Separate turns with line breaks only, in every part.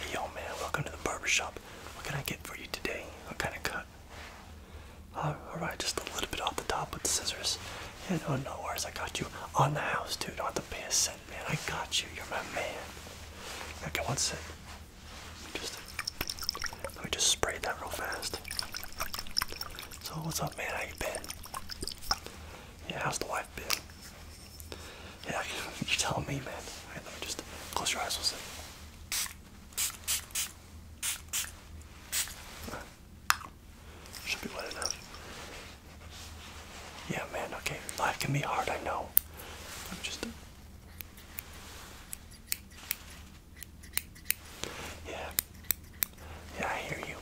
Hey yo man, welcome to the barber shop. What can I get for you today? What kind of cut? Alright, just a little bit off the top with the scissors. And no, no worries. I got you on the house, dude. Don't have to pay a cent, man. I got you. You're my man. Okay, one sec. Just, let me just spray that real fast. So, what's up, man? How you been? Yeah, how's the wife? Yeah, you tell me, man. just close your eyes a second. Should be wet enough. Yeah, man. Okay, life can be hard. I know. I'm just. Yeah. Yeah, I hear you.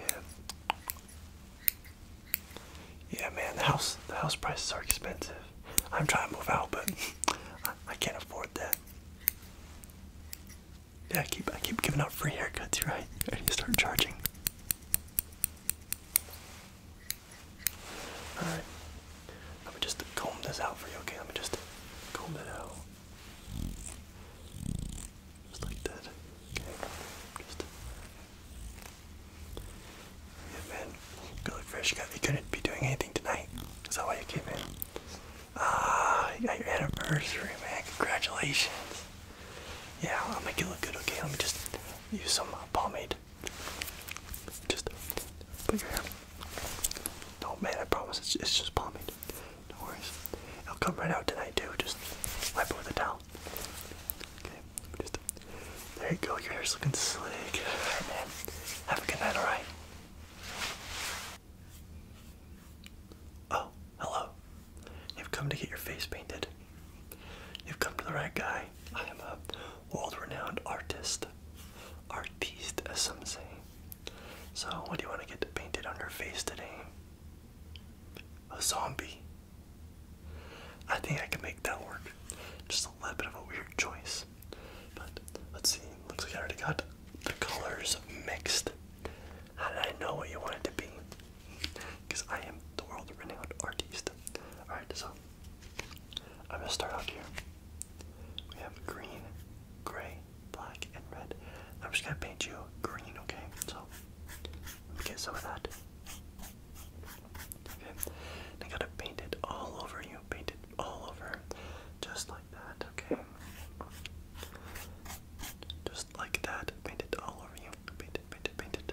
Yeah. Yeah, man, the house the house prices are expensive. I'm trying to move out, but I, can't afford that. Yeah, I keep I keep giving out free haircuts, right? I need to start charging. Alright. Let me just comb this out for you, okay? Let me just comb it out. Just like that. Okay. Just Yeah man. Good look fresh guy. You couldn't be doing anything tonight. Is that why you came in? Ah, you got your anniversary, man. Congratulations. Yeah, I'll make it look good, okay? Let me just use some pomade. Just put your hair. No man, I promise it's just pomade. No worries. i will come right out tonight too. Just wipe it with a towel. Okay. Just there you go. Your hair's looking slick. Alright, man. Have a good night. All right. Oh, hello. You've come to get your face painted. You've come to the right guy. I am a world-renowned artist. Artiste, as some say. So, what do you want to get painted on your face today? A zombie. I think I can make that work. Just a little bit of a weird choice. But let's see. Looks like I already got the colors mixed. How did I know what you wanted to be? Because I am the world-renowned artiste. Alright, so I'm gonna start out here. We have green, gray, black, and red. I'm just gonna paint you green, okay? So let me get some of that. Okay. And I gotta paint it all over you. Paint it all over. Just like that, okay? Just like that. Paint it all over you. Paint it, paint it, paint it.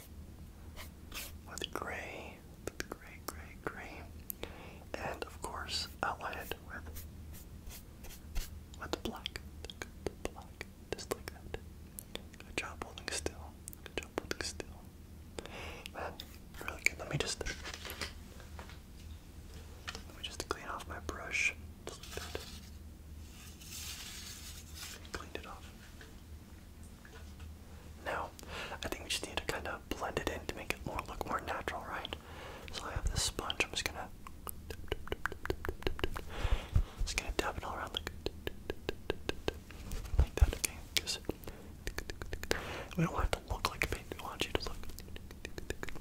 with gray, with gray, gray, gray, and of course I'll outlined with with black, the black, just like that. Good job holding still. Good job holding still. Man, really good. Let me just let me just clean off my brush. Just like that. Cleaned it off. Now, I think we just need to kind of blend it in to make it more look more natural, right? So I have this sponge. I'm just gonna just gonna dab it all around like like that. Okay, because we don't want it to look like a paint. We want you to look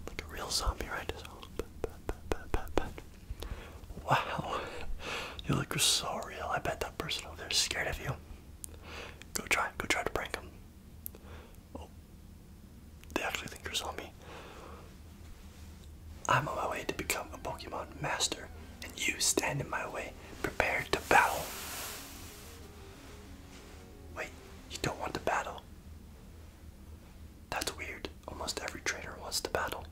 like a real zombie, right? So pat, pat, pat, pat, pat, pat. Wow, you look so real. I bet that person over there is scared of you. Go try, go try to prank them. Oh, they actually think you're a zombie. I'm on my way to become a Pokemon master, and you stand in my way, prepared to battle. Wait, you don't want to battle? That's weird. Almost every trainer wants to battle.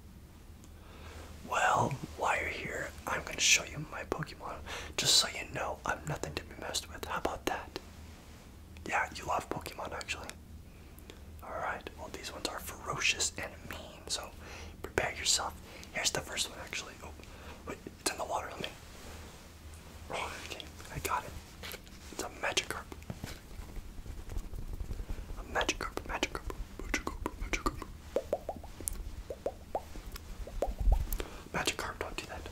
Well, while you're here, I'm gonna show you my Pokemon just so you know I'm nothing to be messed with. How about that? Yeah, you love Pokemon actually. Alright, well, these ones are ferocious and mean, so prepare yourself. Here's the first one actually. Oh, wait, it's in the water. Let me. Oh, okay, I got it. It's a Magikarp. A Magikarp, Magikarp, Magikarp, Magikarp, Magikarp, Magic don't do that.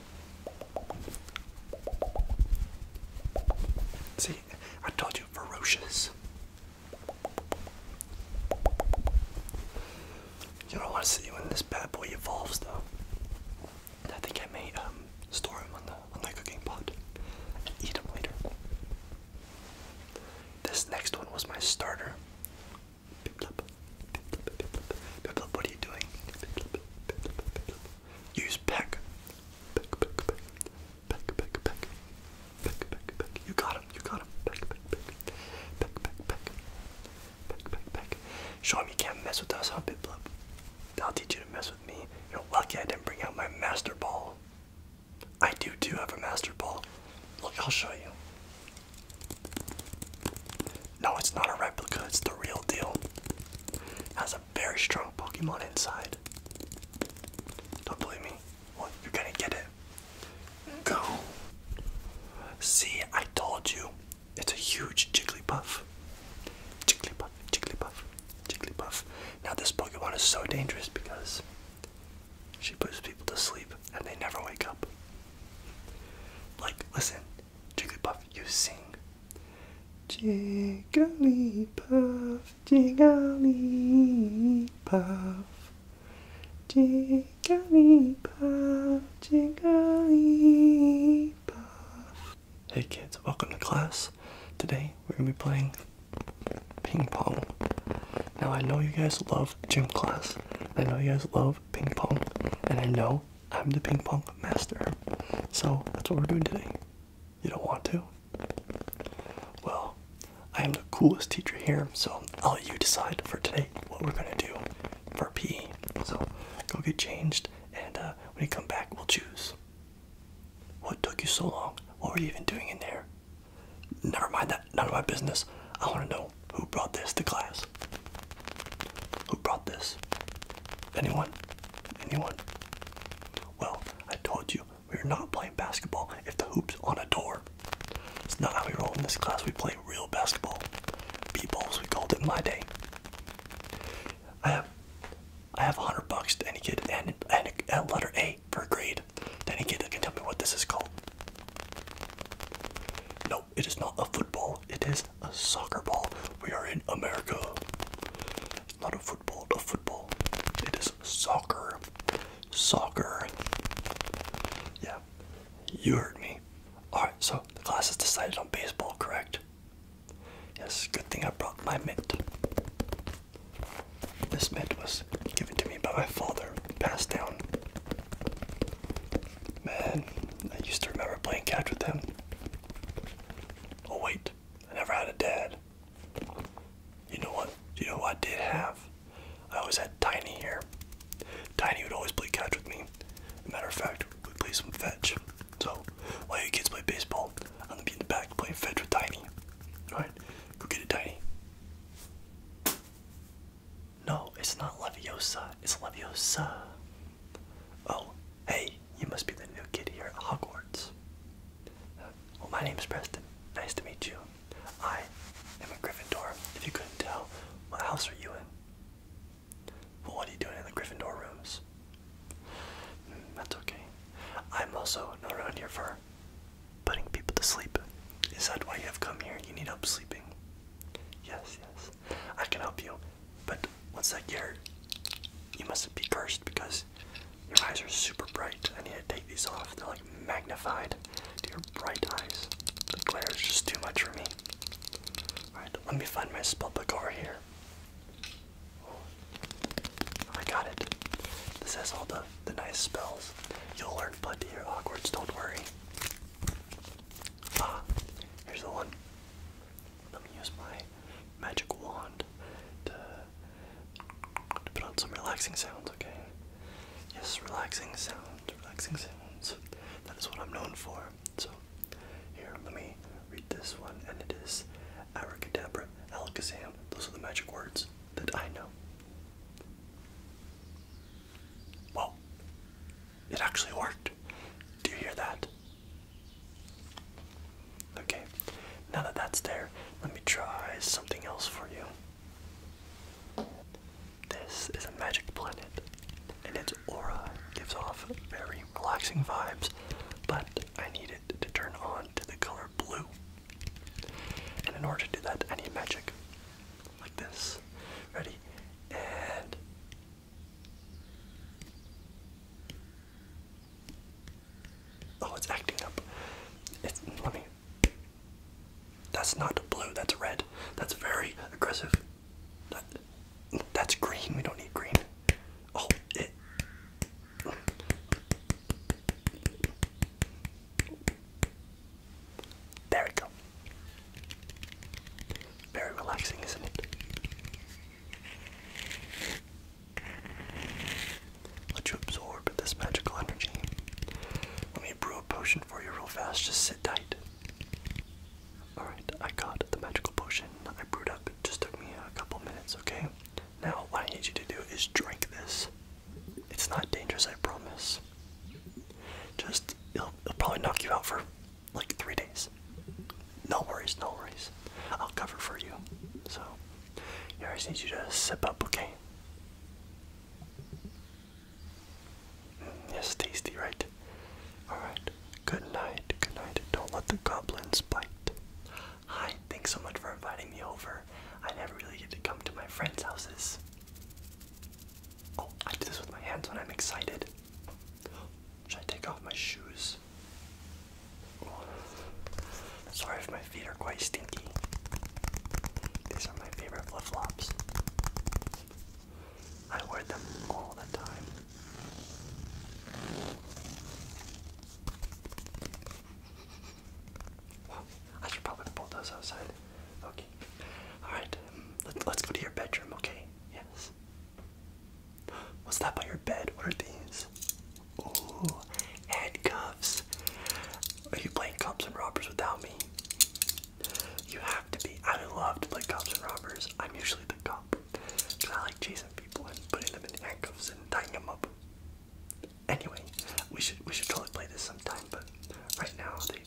See, I told you, ferocious. You don't want to see when this bad boy evolves, though. I think I may um, store him on the on my cooking pot and eat him later. This next one was my starter. what are you doing? Biplop, biplop, biplop. Use peck. Peck, peck, peck. Peck, peck, peck. Peck, peck, peck. You got him, you got him. Peck, peck, peck. Peck, peck, peck. Peck, peck, peck. Show him you can't mess with us, huh, Biplop? I'll teach you to mess with me. You're lucky I didn't bring out my master ball. I do too have a master ball. Look, I'll show you. No, it's not a replica, it's the real deal. Has a very strong Pokemon inside. Don't believe me? you're gonna get it. Go. See, I told you. It's a huge Jigglypuff. Jigglypuff, Jigglypuff, Jigglypuff. Now, this Pokemon is so dangerous because she puts people to sleep and they never wake up. Like, listen, Jigglypuff, you sing. Jigglypuff, Jigglypuff. Jigglypuff, Jigglypuff. Hey kids, welcome to class. Today we're going to be playing ping pong. Now, I know you guys love gym class. I know you guys love ping pong. And I know I'm the ping pong master. So, that's what we're doing today. You don't want to? Well, I am the coolest teacher here, so I'll let you decide for today what we're going to do for PE. So, go get changed, and uh, when you come back, we'll choose. What took you so long? What were you even doing in there? Never mind that. None of my business. I want to know who brought this to class. Who brought this? Anyone? Anyone? Well, I told you we are not playing basketball if the hoop's on a door. It's not how we roll in this class. We play real basketball. B-balls, we called it in my day. I have, I have 100 bucks to any kid and, and a letter A a for grade. Any kid that can tell me what this is called. No, it is not a football. It is a soccer ball. We are in America. not a football, a football. It is soccer. Soccer. Yeah, you heard me. Alright, so the class has decided on baseball, correct? Yes, good thing I brought my mitt. This mint was given to me by my father, passed down. Man, I used to remember playing catch with him. Oh wait, I never had a dad. You know what? You know what I did have? I always had Tiny here. Tiny would always play catch with me. matter of fact, we would play some fetch. So while you kids play baseball, I'm gonna be in the back playing fetch with Tiny. Alright? Go get it, Tiny. No, it's not Laviosa. It's Laviosa. Oh, hey, you must be the new kid here at Hogwarts. Well, my name's Preston. Nice to meet you. I am a Gryffindor. If you couldn't tell, what house are you in? Well, what are you doing in the Gryffindor rooms? Hmm, that's okay. I'm also not around here for putting people to sleep. Is that why you have come here? You need help sleeping? Yes, yes. I can help you. But once I get hurt, you must be cursed because your eyes are super bright. I need to take these off. They're like magnified to your bright eyes. The glare is just too much for me. Alright, let me find my spell book over here. Oh, I got it. This has all the the nice spells. You'll learn plenty of awkwards, don't worry. Ah, here's the one. Let me use my magic wand to, put on some relaxing sounds, okay? Yes, relaxing sounds, relaxing sounds. That is what I'm known for. So, here, let me read this one, and it is abracadabra, alakazam. Those are the magic words that I know. Well, it actually worked. Do you hear that? Okay, now that that's there, let me try something else for you. This is a magic planet, and its aura gives off very relaxing vibes, but I need it to turn on to the color blue. And in order to do that, I need magic. Like this. Ready? And. Oh, it's acting up. Let me. That's not blue, that's red. That's very aggressive. that's green, we don't need green. Oh, it. There we go. Very relaxing, isn't it? Let you absorb this magical energy. Let me brew a potion for you real fast. Just sit tight. Alright, I got the magical potion I brewed up. It just took me a couple minutes, okay? Now, what I need you to do is drink this. It's not dangerous, I promise. Just, it'll, probably knock you out for like three days. No worries, no worries. I'll cover for you. So, yeah, I just need you to sip up, okay? Mm, yes, tasty, right? Alright. Good night, good night. Don't let the goblins bite. Hi, thanks so much for inviting me over. I never really get to come to my friends' houses. Oh, I do this with my hands when I'm excited. Should I take off my shoes? sorry if my feet are quite stinky. These are my favorite flip flops. I wear them all the time. I should probably pull those outside. Okay. Alright, let's, let's go to your bedroom, okay? Yes. What's that by your bed? What are these? Oh, handcuffs. Are you playing cops and robbers without me? You have to be. I love to play cops and robbers. I'm usually the cop. Cause I like chasing people and putting them in handcuffs and tying them up. Anyway, we should we should totally play this sometime, but right now they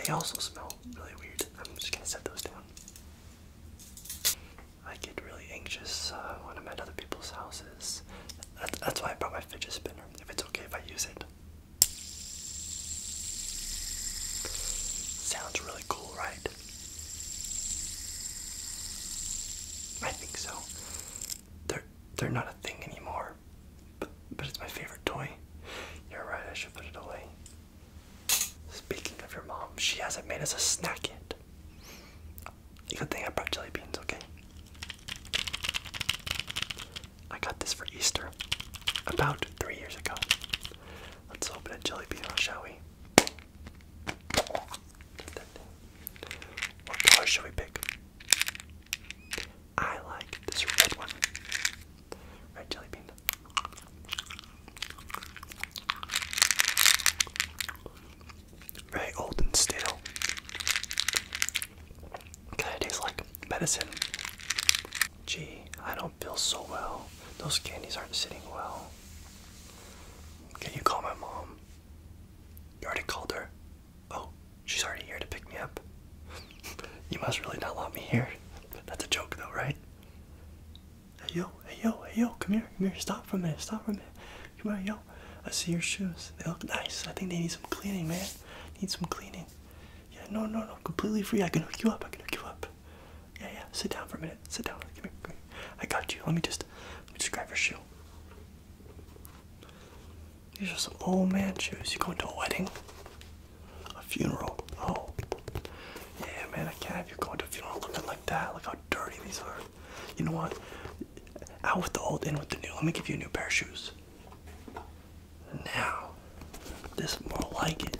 they also smell really weird. I'm just gonna set those down. I get really anxious uh, when I'm at other people's houses. that's why I brought my fidget spinner. If it's okay if I use it. Sounds really cool, right? I think so they're they're not a thing anymore. But but it's my favorite toy. You're right, I should put it away. Speaking of your mom, she hasn't made us a snack yet. Good thing I brought jelly beans, okay? I got this for Easter about three years ago. Let's open a jelly bean, shall we? What color should we pick? I like this red one. Red jelly bean. Very old and stale. Kind of tastes like medicine. Gee, I don't feel so well. Those candies aren't sitting well. Can you call my mom? You already called her. Oh, she's already here to pick me up. you must really not want me here. That's a joke, though, right? Hey, yo, hey, yo, hey, yo, come here, come here, stop for a minute, stop for a minute. Come here, yo. I see your shoes. They look nice. I think they need some cleaning, man. Need some cleaning. Yeah, no, no, no, completely free. I can hook you up, I can hook you up. Yeah, yeah, sit down for a minute. Sit down. Come here, I got you. Let me just, let me just grab your shoe. These are some old man shoes. You going to a wedding? A funeral? Oh. Yeah, man, I can't have you going to a funeral looking like that. Look how dirty these are. You know what? Out with the old, in with the new. Let me give you a new pair of shoes. Now, this is more like it.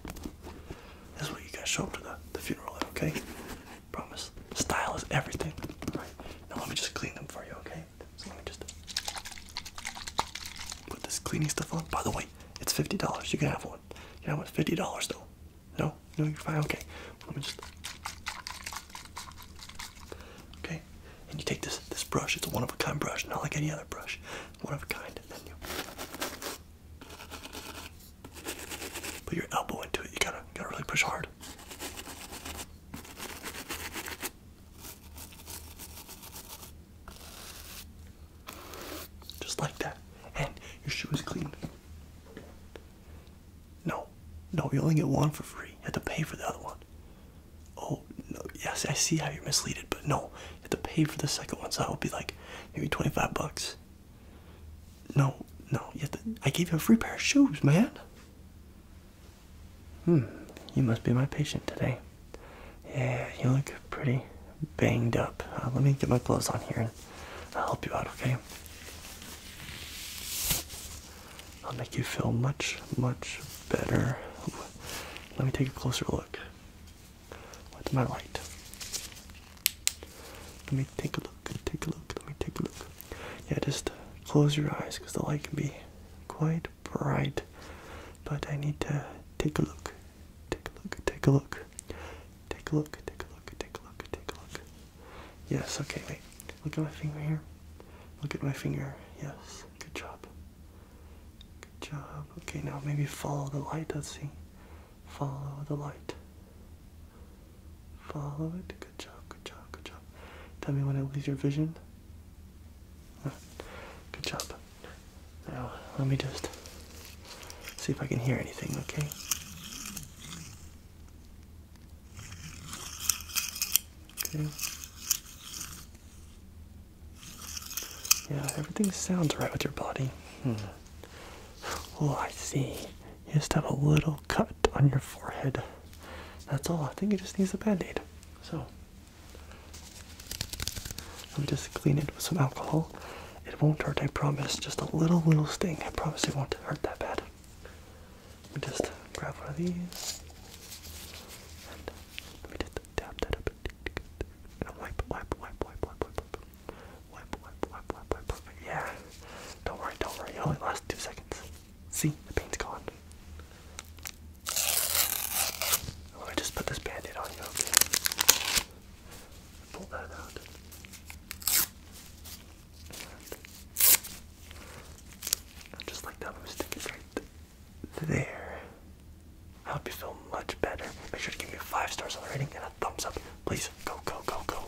This is what you guys show up to the, the funeral in, okay? Promise. Style is everything. Alright. Now let me just clean them for you, okay? So let me just put this cleaning stuff on. By the way, it's fifty dollars. You can have one. You can have one fifty dollars though. No? No, you're fine. Okay. Let me just Okay. And you take this this brush, it's a one of a kind brush, not like any other brush. One of a kind, then you Put your elbow into it. You gotta, you gotta really push hard. Just like that. And your shoe is clean. No, no, you only get one for free. You have to pay for the other one. Oh, no, yes, I see how you're misleaded, but no, you have to pay for the second one, so I would be like maybe 25 bucks. No, no, I gave you a free pair of shoes, man. Hmm, you must be my patient today. Yeah, you look pretty banged up. Uh, let me get my clothes on here and I'll help you out, okay? I'll make you feel much, much better. Let me take a closer look with my light. Let me take a look, take a look, let me take a look yeah, just close your eyes because the light can be quite bright. But I need to take a look. Take a look, take a look. Take a look, take a look, take a look, take a look. Yes, okay, wait. Look at my finger here. Look at my finger. Yes, good job. Good job. Okay, now maybe follow the light. Let's see. Follow the light. Follow it. Good job, good job, good job. Tell me when I lose your vision. Good job. Now, let me just see if I can hear anything, okay? Okay. Yeah, everything sounds right with your body. Hmm. Oh, I see. You just have a little cut on your forehead. That's all. I think you just need a band aid. So, let me just clean it with some alcohol. It won't hurt, I promise. Just a little, little sting. I promise it won't hurt that bad. Let me just grab one of these. And let me just dab that up. And wipe, wipe, wipe, wipe, wipe, wipe, wipe. Wipe, wipe, wipe, wipe, wipe, wipe. Yeah. Don't worry, don't worry. It only lasts two seconds. See, the pain has gone. Let me just put this band-aid on you, Pull that out. just like that, let stick it right there. I hope you feel much better. Make sure to give me five stars on the rating and a thumbs up. Please, go, go, go, go.